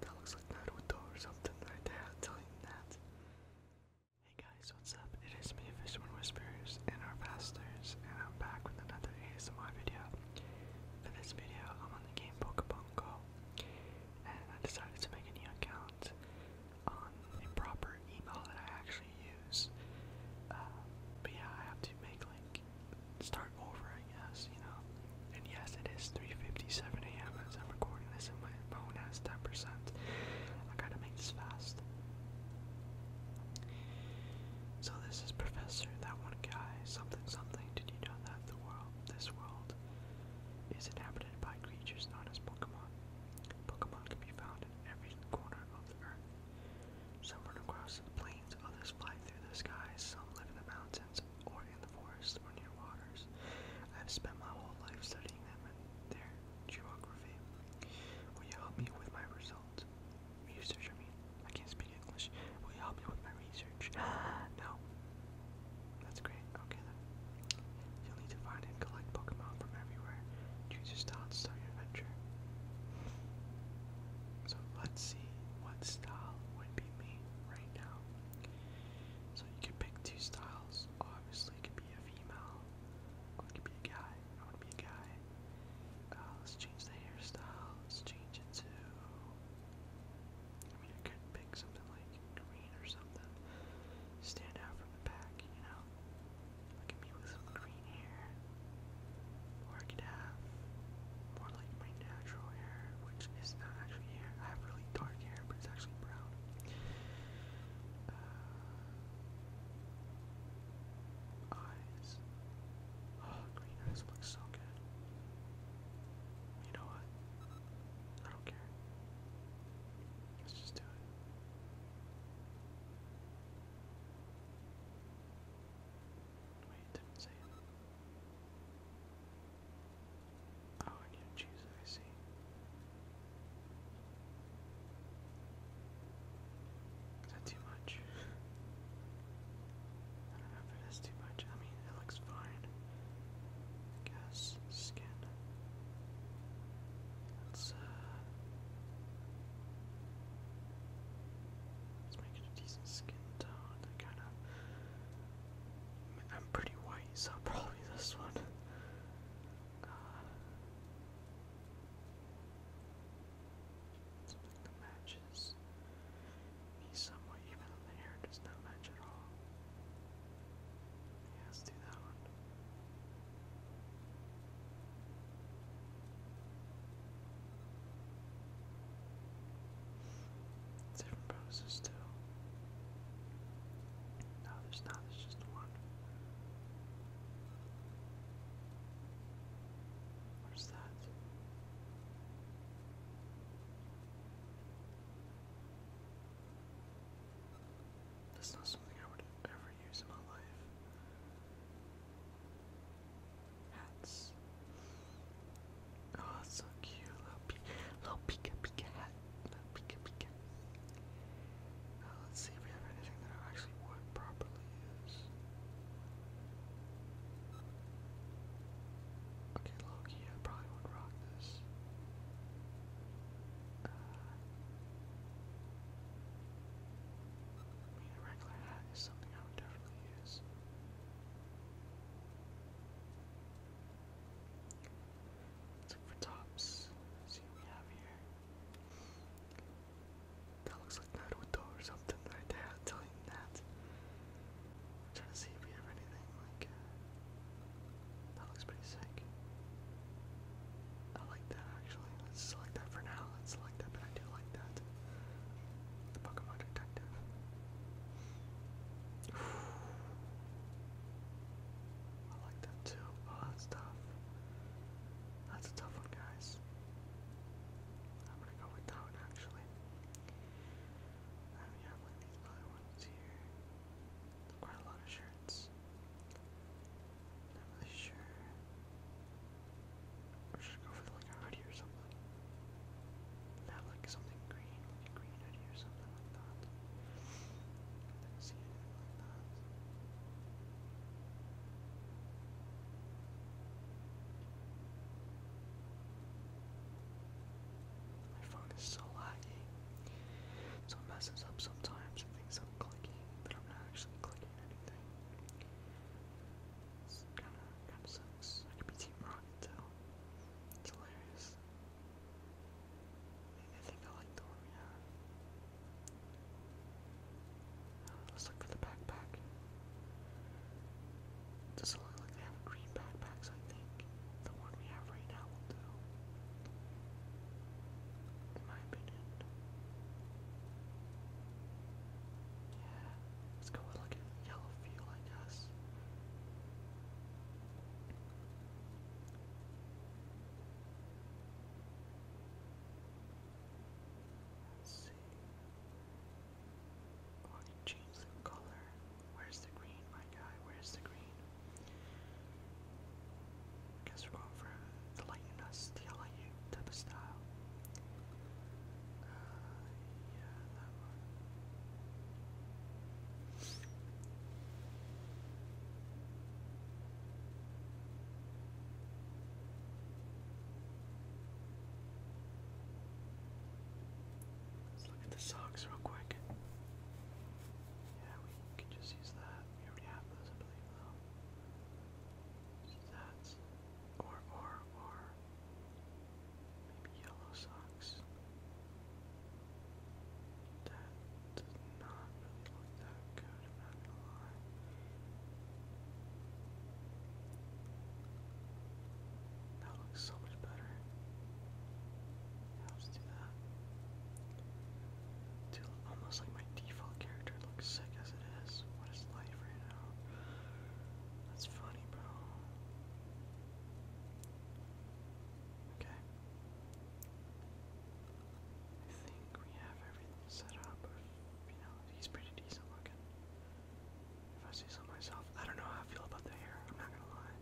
That looks like Naruto or something right there, tell you that. Hey guys, what's up? It is me, Fisherman Whispers, and our pastors, and I'm back with another ASMR video. For this video, I'm on the game Pokemon Go and I decided to make a new account on a proper email that I actually use. Uh, but yeah, I have to make like start over, I guess, you know. And yes, it is 3:57 a.m. as I'm recording this, and my phone has 10%. I gotta make this fast. So this is Professor, that one guy, something something. Did you know that the world, this world, is inhabited by creatures known as Pokemon. Pokemon can be found in every corner of the earth. Some run across the plains, others fly through the skies, some live in the mountains or in the forests or near waters. I have spent my whole life studying them and their geography. Will you help me with my results? Research, I mean. I can't speak English. Will you help me with my no. That's great. Okay then. You'll need to find and collect Pokemon from everywhere. Choose your style start your adventure. So let's see what style would be me right now. So you can pick two styles. Obviously, it could be a female. Or it could be a guy. I want to be a guy. Uh, let's change the hairstyle. change it to. I mean, I could something like green or something. Stand out from the pack, you know? Look at me with green hair. Or I could have more like my natural hair, which is not actually hair. I have really dark hair, but it's actually brown. Uh, eyes. Oh, green eyes look so good. You know what? I don't care. Let's just do it. Wait, didn't say Oh, I need to choose I see. Is that too much? I don't know if it is too much. I mean, it looks fine gas skin. Let's, uh, let's make it a decent skin tone. That kind of. I'm pretty white, so probably this one. Uh, Something that matches. He's somewhat even on the hair, does not match at all. Yeah, let's do that one. Different poses too. No, there's not, there's just one. Where's that? That's not something I would ever use in my life. Hats. Oh, so cute. Little, pe little pika pika hat. Little pika pika. Now, uh, let's see if we have anything that I actually would properly use. Okay, Loki, I probably would rock this. Uh, a regular hat is something I would definitely use. Let's look for tops. see what we have here. That looks like Naruto or something right there, I'm telling you that. Trying to see if we have anything like uh, that looks pretty sick. I like that actually. Let's select that for now. Let's select that, but I do like that. The Pokemon Detective. I like that too. Oh, that's tough. That's a tough one, guys. I'm gonna go with that actually. Um, you have like these other ones here. quite a lot of shirts. Not really sure. Or should go for like a hoodie or something? Have like something green, like a green hoodie or something like that. I didn't like that. My phone is so laggy. So it messes up sometimes. It thinks I'm clicking, but I'm not actually clicking anything. It's kinda, kinda sucks. I could be Team Rocket It's hilarious. I think I like the one we uh, let's look for the backpack. Doesn't look like they have green backpacks, I think. The one we have right now will do. In my opinion. Yeah, let's go with like yellow feel, I guess. Let's see. Oh, I can change color. Where's the green, my guy? Where's the green? guess we're going for the lightning us, the LIU type of style. Uh, yeah, that one. Let's look at the socks real quick. Yeah, we could just use that. We already have those, I believe, though. Use that. Or, or, or. Maybe yellow socks. That does not really look that good, I'm not gonna lie. That looks so much better. let's do that. Dude, almost like my default character looks sick as it is. What is life right now? That's funny, bro. Okay. I think we have everything set up. You know, he's pretty decent looking if I see some myself. I don't know how I feel about the hair, I'm not gonna lie.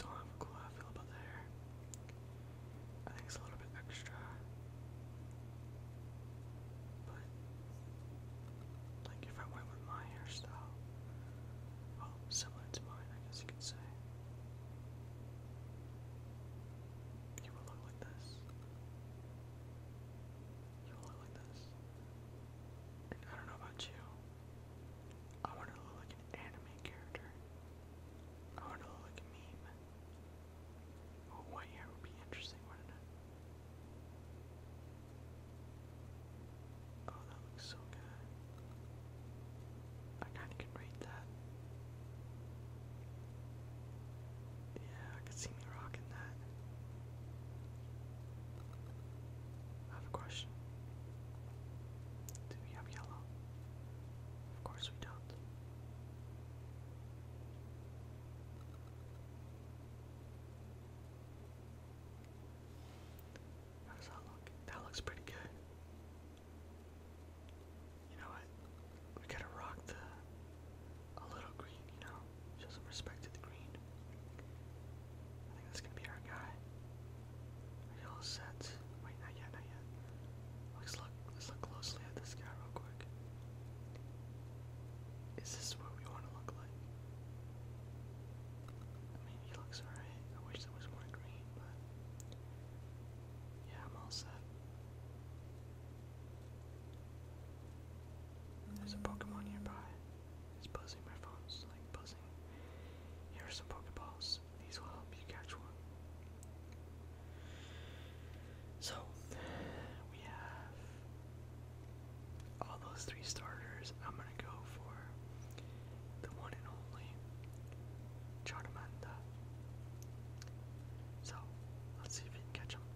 Don't have how I feel about the hair. I think it's a little bit extra. But like if I went with my hairstyle, well, similar to mine, I guess you could say. You will look like this. You will look like this. I don't know about you. I want to look like an anime character. I want to look like a meme. white hair would be interesting, wouldn't it? Oh, that looks so good. I kind of can read that. Yeah, I could see me rocking that. I have a question. Do we have yellow? Of course we don't. How does that look? That looks pretty good. You know what? We gotta rock the a little green, you know? Just some respect to the green. I think that's gonna be our guy. Are you all set? Wait, not yet, not yet. Let's look let's look closely at this guy real quick. Is this what we want to look like? I mean he looks alright. I wish there was more green, but yeah, I'm all set. There's a Pokemon nearby. It's buzzing, my phone. It's like buzzing. Here are some Pokeballs. These will help you catch one. So, we have all those three starters. I'm gonna go for the one and only Charmander. So, let's see if we catch him.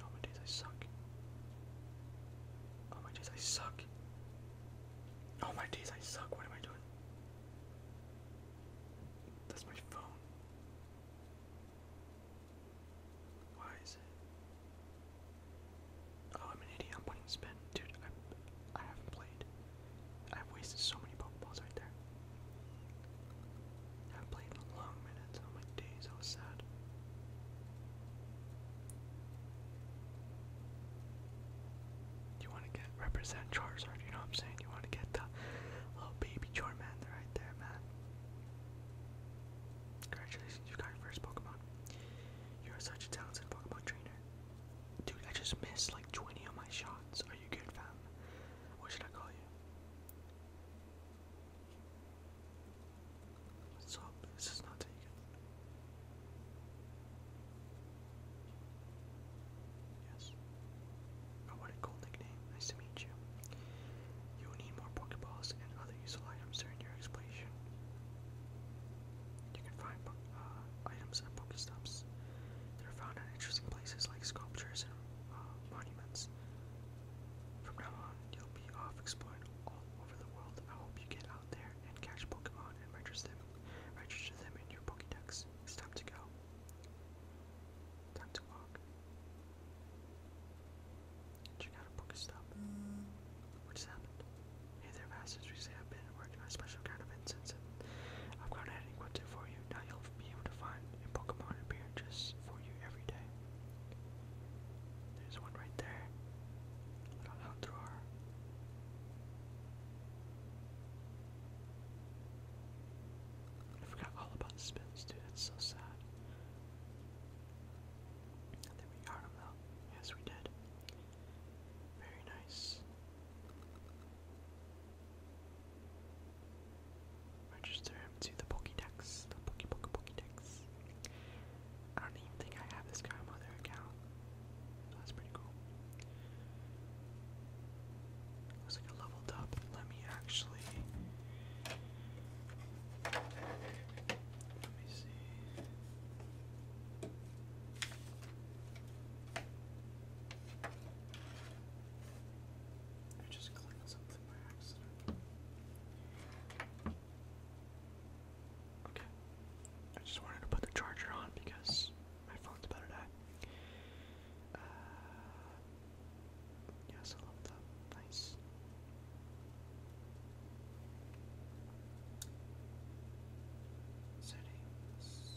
Oh my days, I suck. Oh my days, I suck. Oh my days, I suck. What am I doing? That's my phone. Why is it? Oh, I'm an idiot. I'm putting spin. Dude, I, I haven't played. I've wasted so many Pokeballs right there. I played long minutes on my days I was sad. You want to get represent Charizard, you know what I'm saying? You want to get the little baby Charmander right there, man. Congratulations, you got your first Pokemon. You're such a talented Pokemon trainer. Dude, I just missed like 20 of my shots. Are you good, fam? What should I call you? What's up? This is not taken. Yes. Oh, what a cool nickname. Nice to meet you. You will need more Pokeballs and other useful items during your exploration. You can find uh, items at Pokestops. They're found at interesting places like sculptures and uh, monuments. From now on, you'll be off exploring all over the world. I hope you get out there and catch Pokemon and register them, register them in your Pokédex. It's time to go. Time to walk. Check out a Pokéstop. What just Hey there, masters. We say I've been working on a special kind of incense, I've gone ahead and for you. Now you'll be able to find and Pokemon appearances for you every day. There's one right there. Little outdoor. I forgot all about spins, dude. That's so sad. I we got him though. Yes, we did. Very nice. Register him to the Pokédex. The Poké Poké Pokédex. I don't even think I have this guy account. that's pretty cool. Looks like I leveled up. Let me actually. Let me see. I just clicked something. Okay. I just wanted to put the charger on because my phone's about to die. Uh, yes, I love that. Nice. Settings.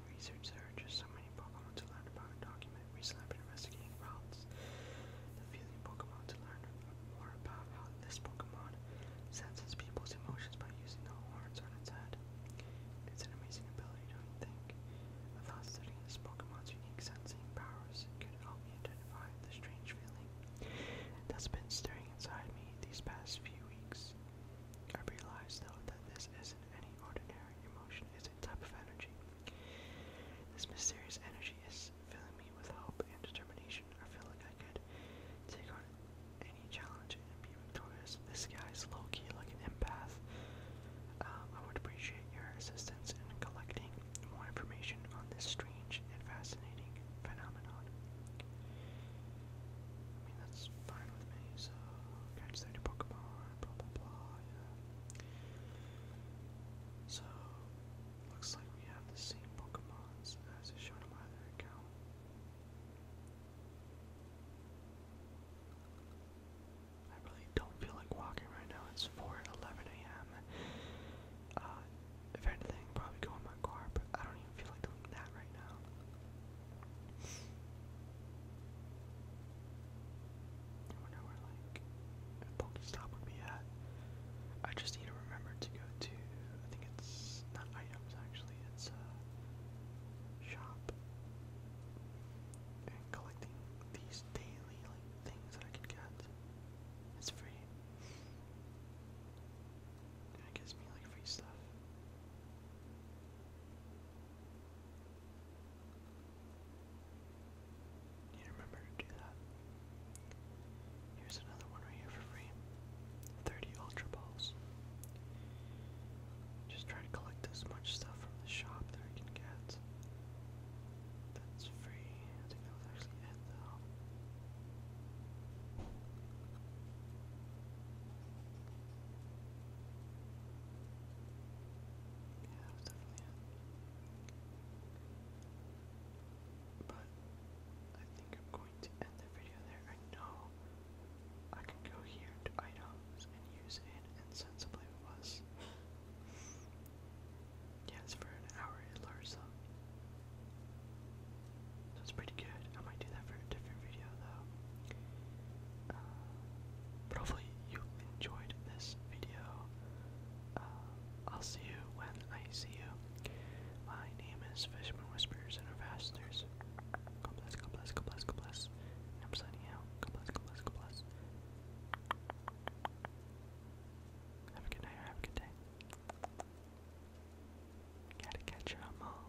our research there are just so many Pokemon to learn about and document. Recently, I've been investigating routes The feeling Pokemon to learn more about how this Pokemon senses people's emotions by using the horns on its head. It's an amazing ability, don't you think? Without studying this Pokemon's unique sensing powers, could help me identify the strange feeling that's been stirring inside me these past few weeks. I realize though, that this isn't any ordinary emotion, it's a type of energy. This mysterious energy is filling me with hope and determination. I feel like I could take on any challenge and be victorious. This guy's low key like an empath. Um, I would appreciate your assistance in collecting more information on this strange and fascinating phenomenon. that's fine with me, so catch 30 Pokemon. So looks like we have the same Pokemons as is shown in my other account. I really don't feel like walking right now. It's 4 11 a.m. Uh, if anything, probably go in my car, but I don't even feel like doing that right now. I wonder where like a Pokestop would be at. I just need to remember to go to I think it's not items actually, it's uh shop. And collecting these daily like things that I can get. It's free. it gives me like free stuff. You remember to do that. Here's another one right here for free. 30 Ultra Balls. Just try to collect as much stuff from the shop that I can get. That's free. I think that was actually it though. But I think I'm going to end the video there. I know I can go here to items and use an incense, I believe Yes, for an hour it lures up. That's pretty good. I might do that for a different video though. Um, but hopefully you enjoyed this video. Uh, I'll see you when I see you. My name is Fishman Whispers and Ambassadors. God bless, God bless, God bless, God bless. I'm signing out. God bless, God bless, God bless. Have a good night have a good day. Gotta catch your mom.